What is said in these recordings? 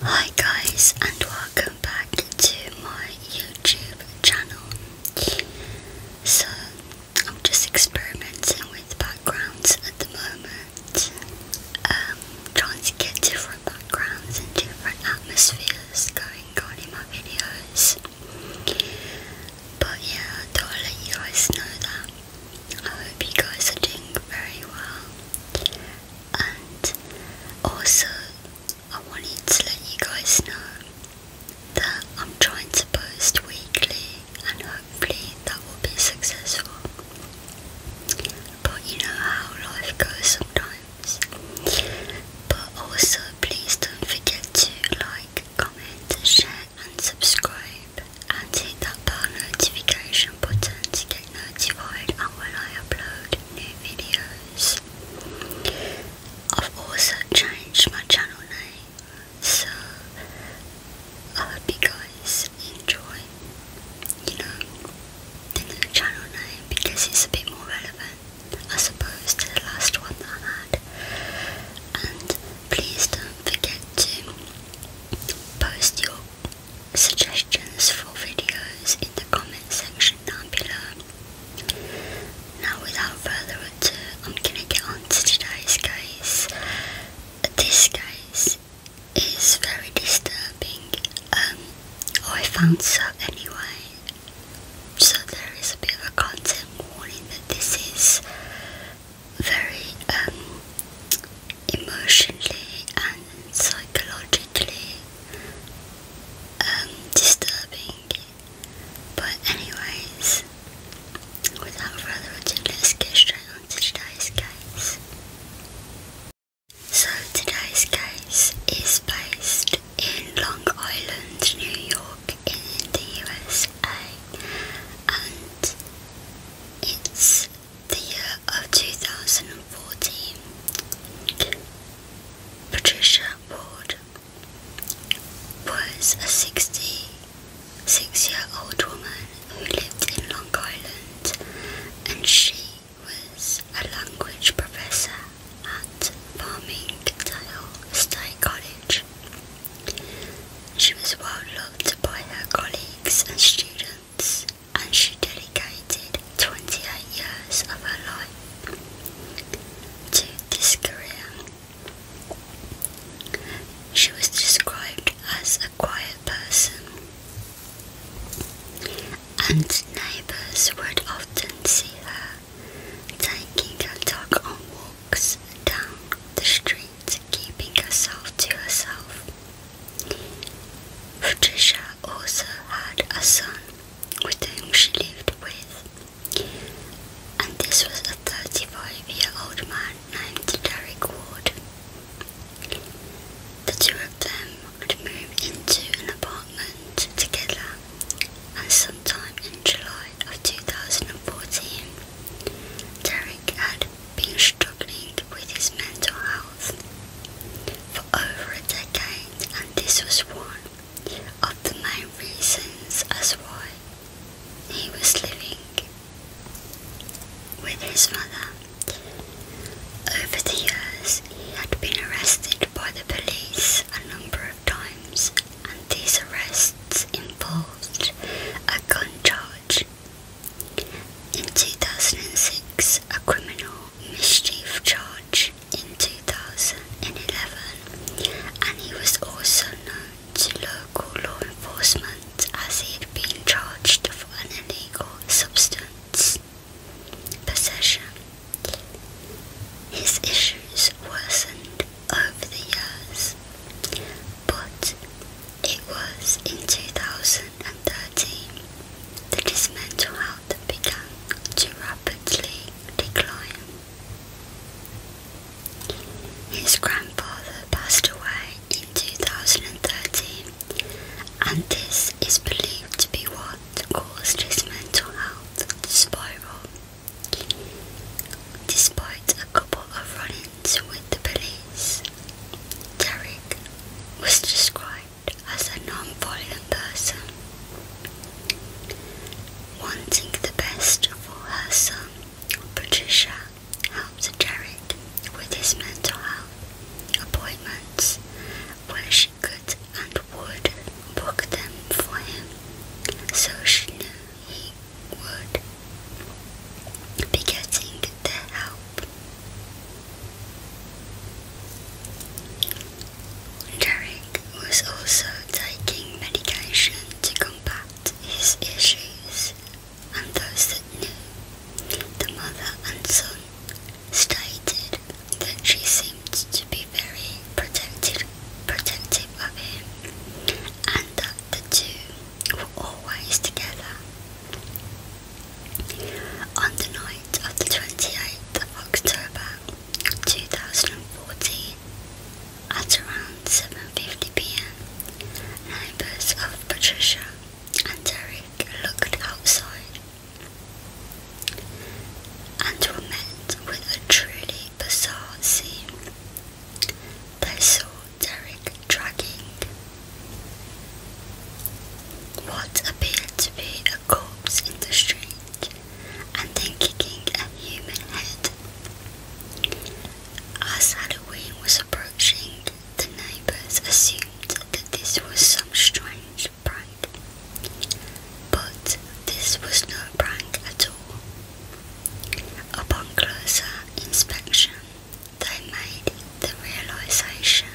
Hi guys and welcome back to my YouTube channel. So I'm just experimenting with backgrounds at the moment. Um, trying to get different backgrounds and different atmospheres going on in my videos. But yeah, I let you guys know that I hope you guys are doing very well. And also, I wanted to let you guys know that I'm trying to post weekly and hopefully that will be successful. But you know how life goes sometimes. But also, please don't forget to like, comment, share, and subscribe and hit that bell notification button to get notified on when I upload new videos. I've also changed my channel name, so I hope you guys enjoy, you know, the new channel name because it's a bit more relevant, I suppose, to the last one I had. And please don't forget to post your suggestions for videos in the comment section down below. Now without further ado, I'm gonna get on to today's case. This case is very disturbing. Um, oh, I found so anyway. So there is a bit of a content warning that this is very um, emotionally and psychologically um, disturbing. But anyways, without further ado, let's get straight on today's case. So today's case is based in Long Island, New York in the USA and it's the year of 2014, Patricia Ward was a 66 year old woman who lived in Long Island and she was a language professor at Farmingdale State College. She was well loved by her colleagues and students, and she dedicated 28 years of her life to this career. She was described as a quiet person, and neighbours would often see her taking her dog on walks down the street keeping herself to herself. Patricia also had a son with whom she lived with, and this was a 35 year old man named Derek Ward. The two of them would move into an apartment together, and sometime in July of 2014, Derek had been struggling with his mental health for over a decade, and this was one of the main reasons as why he was living with his mother. Over the years, he had been arrested by the police a number of times, and these arrests involved a gun charge in 2006, a criminal mischief charge in 2011, and he was also known to local law enforcement as he had been charged for an illegal substance possession. His issues worsened over the years, but it was in 2013 that his mental health began to rapidly decline. His grandfather passed away in 2013, and this is believed to be what caused his mental health to spiral. Despite couple of run-ins with the police. Derek was described as a non-violent person, wanting the best for her son. Patricia helped Jared with his mental health appointments where she could and would book them for him so she knew would be getting the help. Derek was also taking medication to combat his issues, and those that knew the mother and son stated that she seemed to be very protective, protective of him, and that the two we're always together. On the night of the 28th of October 2014, at around 7.50pm, neighbours of Patricia and Derek looked outside and were met with a truly bizarre scene. They saw Derek dragging what appeared to be a corpse in the street and then kicking a human head. As Halloween was approaching, the neighbors assumed that this was some strange prank. But this was no prank at all. Upon closer inspection, they made the realization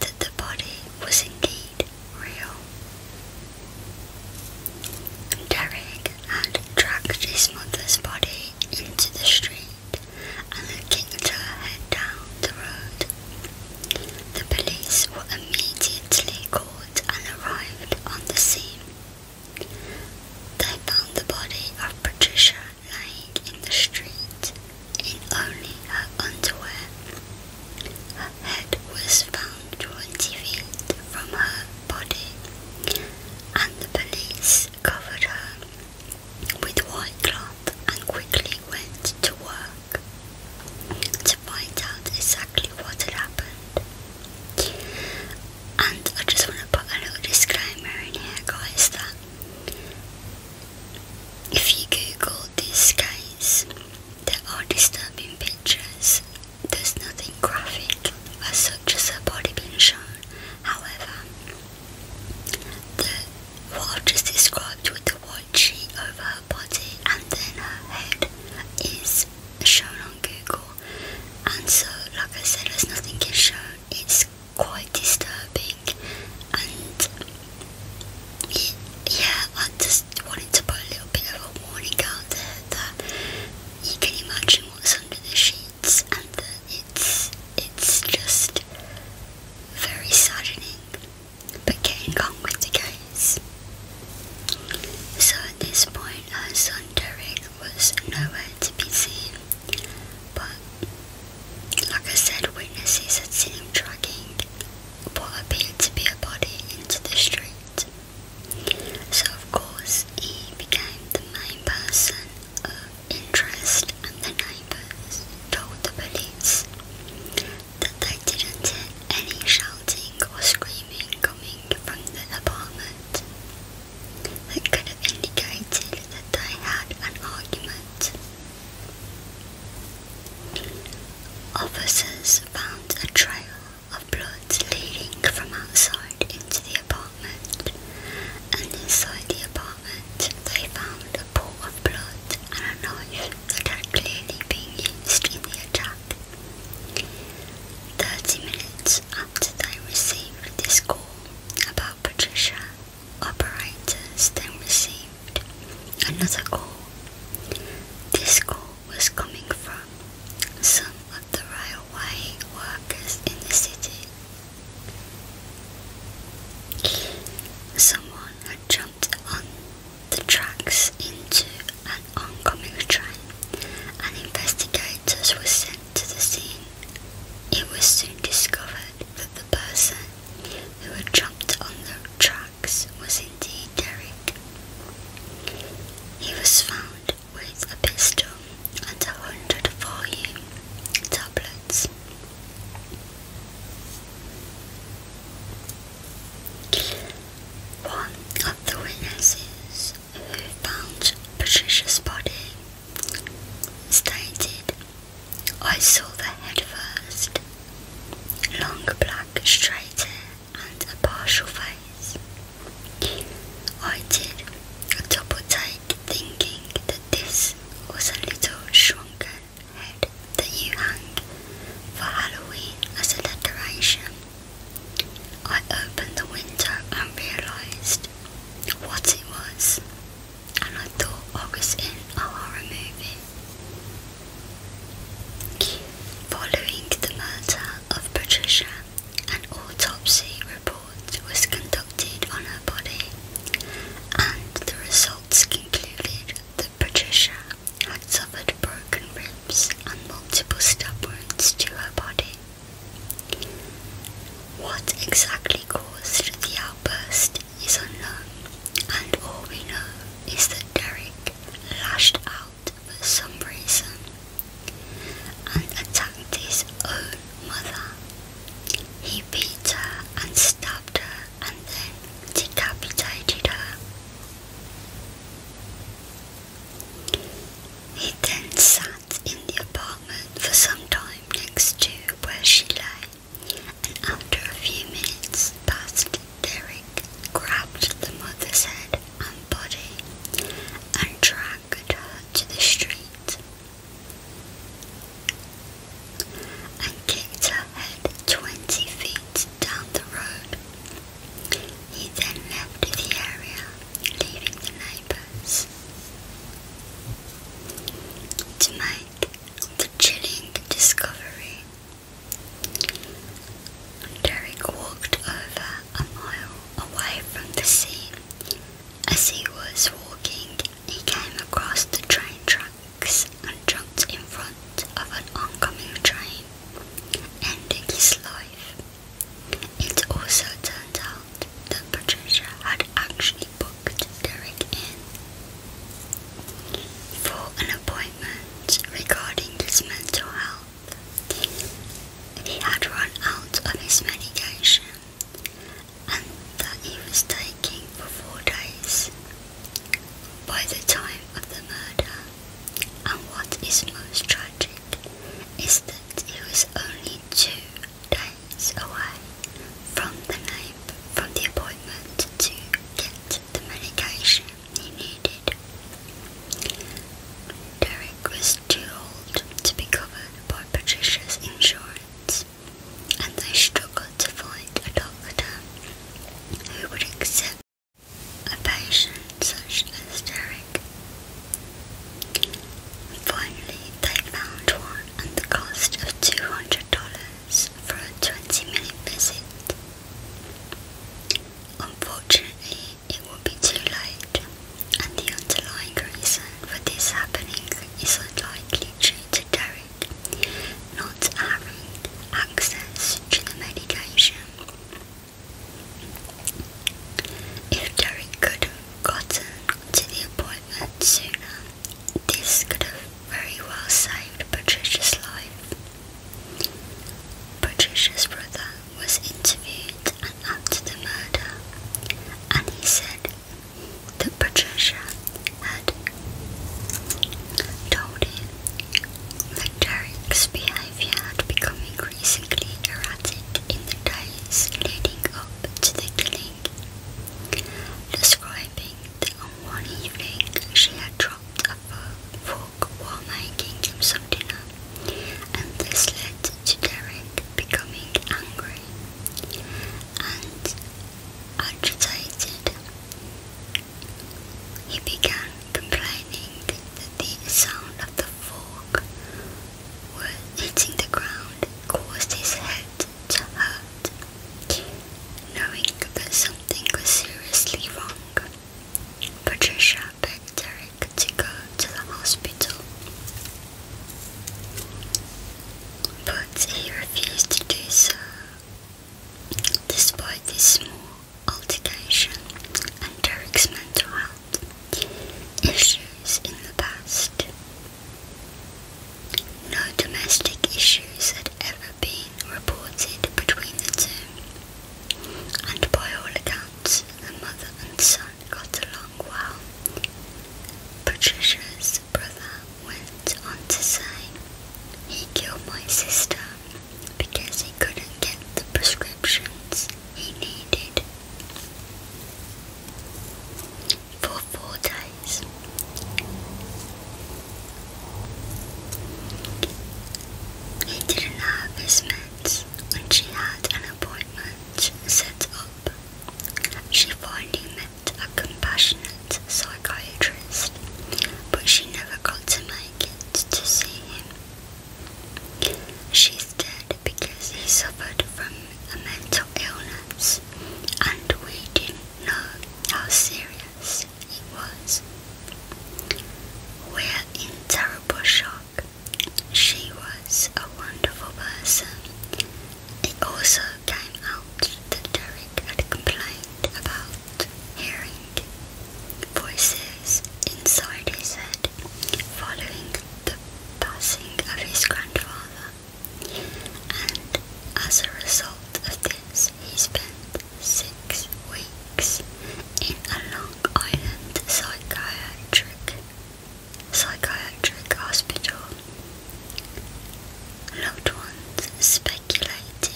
that the body was indeed real. Derek had dragged his mother's body into the street and kicked her head down the road. The police were immediately called and arrived on the scene. They found the body of Patricia lying in the street in only her underwear. Her head was found 20 feet from her body, and the police covered her with white cloth and quickly went to work to find out exactly what had happened. And I just want to put a little disclaimer in here, guys, that if you Google this case, there are disturbing pictures. There's nothing graphic as such as a body being shown. However, the, what I've just described with the white sheet over her body and then her head is shown on Google, and so, like I said, as nothing is shown, it's quite disturbing. And yeah, I just wanted to put a little bit of a warning out there that you can imagine what's under the sheets, and that it's it's just very saddening. But getting on with the case. So at this point, her son Derek was nowhere to be seen, but like I said, witnesses had seen him dragging what appeared to be a body into the street. So, of course, he became the main person of interest, and the neighbours told the police that they didn't hear any shouting shouting or screaming coming from the apartment that could have indicated that they had an argument. Officers found a trail of blood leading from outside into the apartment, and inside the apartment they found a pool of blood and a knife that had clearly been used in the attack. Thirty minutes after they received this call about Patricia, operators then received another call. This call was coming from some of the railway workers in the city. Someone had jumped on the tracks into an oncoming train, and investigators were sent to the scene. It was soon discovered that the person who had jumped on the tracks was indeed Derek. He was found with a pistol and a hundred volume tablets. One of the witnesses found Patricia's body, stated, I saw the head first, long black straight hair and a partial face. I did a double take thinking that this was a little shrunken head that you hung for Halloween as a decoration. I opened the window and realised what it was, and I thought I was in a horror movie. Following the murder of Patricia, an autopsy report was conducted on her body, and the results concluded that Patricia had suffered broken ribs and multiple stab wounds to her body. What exactly caused the outburst is unknown, and all we know is that Derek lashed out for some reason and attacked his own mother. He beat her and stabbed her and then decapitated her. He then sat in the apartment for some time next to where she lay, and after a few minutes passed Derek grabbed the mother's head and body and dragged her to the street and kicked her head twenty feet down the road. He then left the area, leaving the neighbors. To make the chilling discovery, Derek walked over a mile away from the scene. As he was walking, he came across the train tracks and jumped in front of an oncoming train and his life. It also turned out that Patricia had actually booked Derek in for an appointment regarding his mental health. He had run out of his medication and that he was taking for four days. By the time of the murder, and what is most tragic is that it was only two days away from the from the appointment to get the medication he needed. Derek was too old to be covered by Patricia's insurance, and they struggled to find a doctor who would accept a patient such as Derek. Finally, they found one at the cost of $200 for a 20 minute visit. Unfortunately, it will be too late, and the underlying reason for this happening is unlikely due to Derek not having access to the medication. If Derek could have gotten to the appointment sooner, this could have very well saved Patricia's life. Patricia's brother was interviewed after the murder, and he said that Patricia had told him Derek's behavior had become increasingly erratic in the days leading up to the killing. Describing the on one evening she had dropped a fork while making him some dinner, and this led to Derek becoming angry and agitated. He began complaining that the sound of the fork were hitting the ground caused his head to hurt, knowing that something was seriously wrong. Patricia begged Derek to go to the hospital, but he refused to do so Despite this small altercation and Derek's mental health issues in the past, no domestic issues had ever been reported between the two, and by all accounts, the mother and son got along well. Patricia's brother went on to say, He killed my sister because he couldn't get the prescriptions he needed. For four days, he didn't have his meds when she had an appointment set up. She finally met a compassionate psychiatrist, but she never got to meet to see him. She's dead because he suffered from a mental illness and we didn't know how serious it was. We're in terrible shock. She was a wonderful person. It also came out that Derek had complained about hearing voices inside his head following the passing of his grandfather, and as a result of this, he spent six weeks in a Long Island psychiatric psychiatric hospital. Loved ones speculated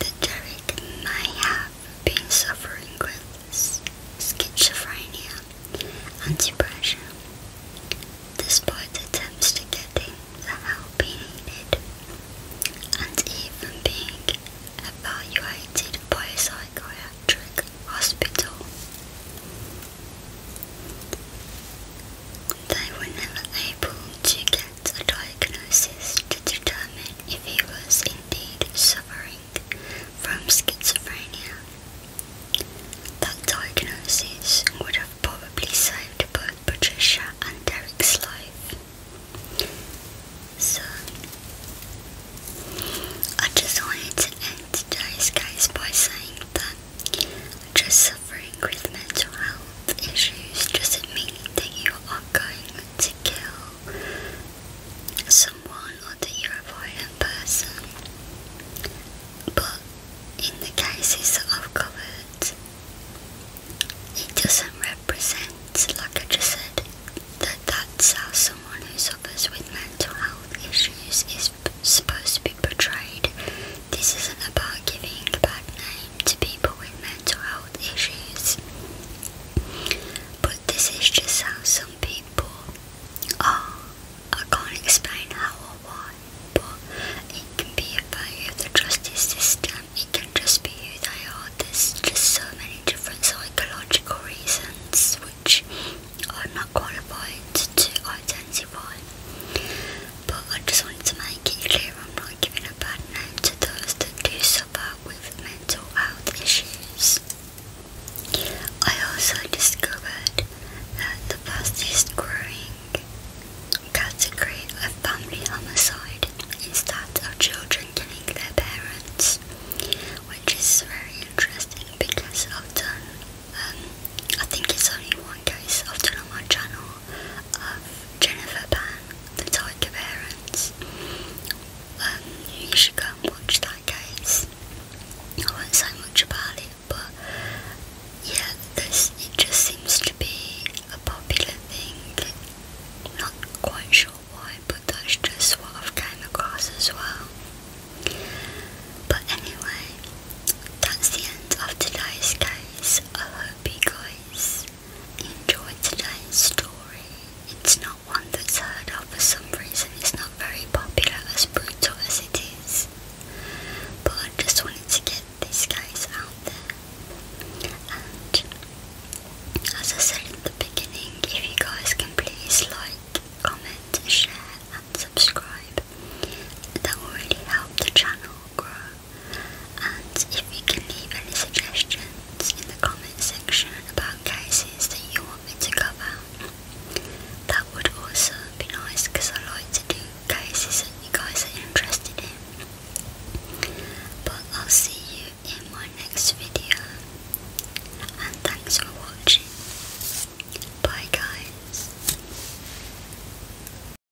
that Derek may have been suffering with schizophrenia depression, despite attempts to get him the help he needed, and even being evaluated by a psychiatric hospital. They were never able to get the diagnosis to determine if he was indeed suffering from schizophrenia. That diagnosis would have probably saved both Patricia and Derek's life. So, I just wanted to end today's case by saying that just suffering with mental health issues doesn't mean that you are going to kill someone or that you're a violent person. But in the cases I've covered, it doesn't represent, like I just said, that that's how someone who suffers with mental health issues is supposed to be portrayed. This isn't about giving a bad name to people with mental health issues. But this is just how some people are. I can't explain how or why, but it can be a failure of the justice system. It can just be who they are. There's just so many different psychological reasons which I'm not qualified to identify. But I just wanted to make it clear I'm not giving a bad name to those that do suffer with mental health issues. I also discovered that the fastest growing category of family homicide is that of children killing their parents, which is very interesting because i um, I think it's only one case I've done on my channel of Jennifer Pan, the Tiger Parents. Um, you should go and watch that case. I won't say but yeah, this it just seems to be a popular thing. Not quite sure why, but that's just what I've came across as well. But anyway, that's the end of today's case. I hope you guys enjoyed today's story. It's not one that's heard of for some reason, it's not very popular, as brutal as it is. But I just wanted to get these guys out there. And as I said in the beginning, if you guys can please like, comment, share, and subscribe, that will really help the channel grow. And if you can leave any suggestions in the comment section about cases that you want me to cover, that would also be nice because I like to do cases that you guys are interested in. But I'll see you in my next video. And thanks for watching. Bye guys.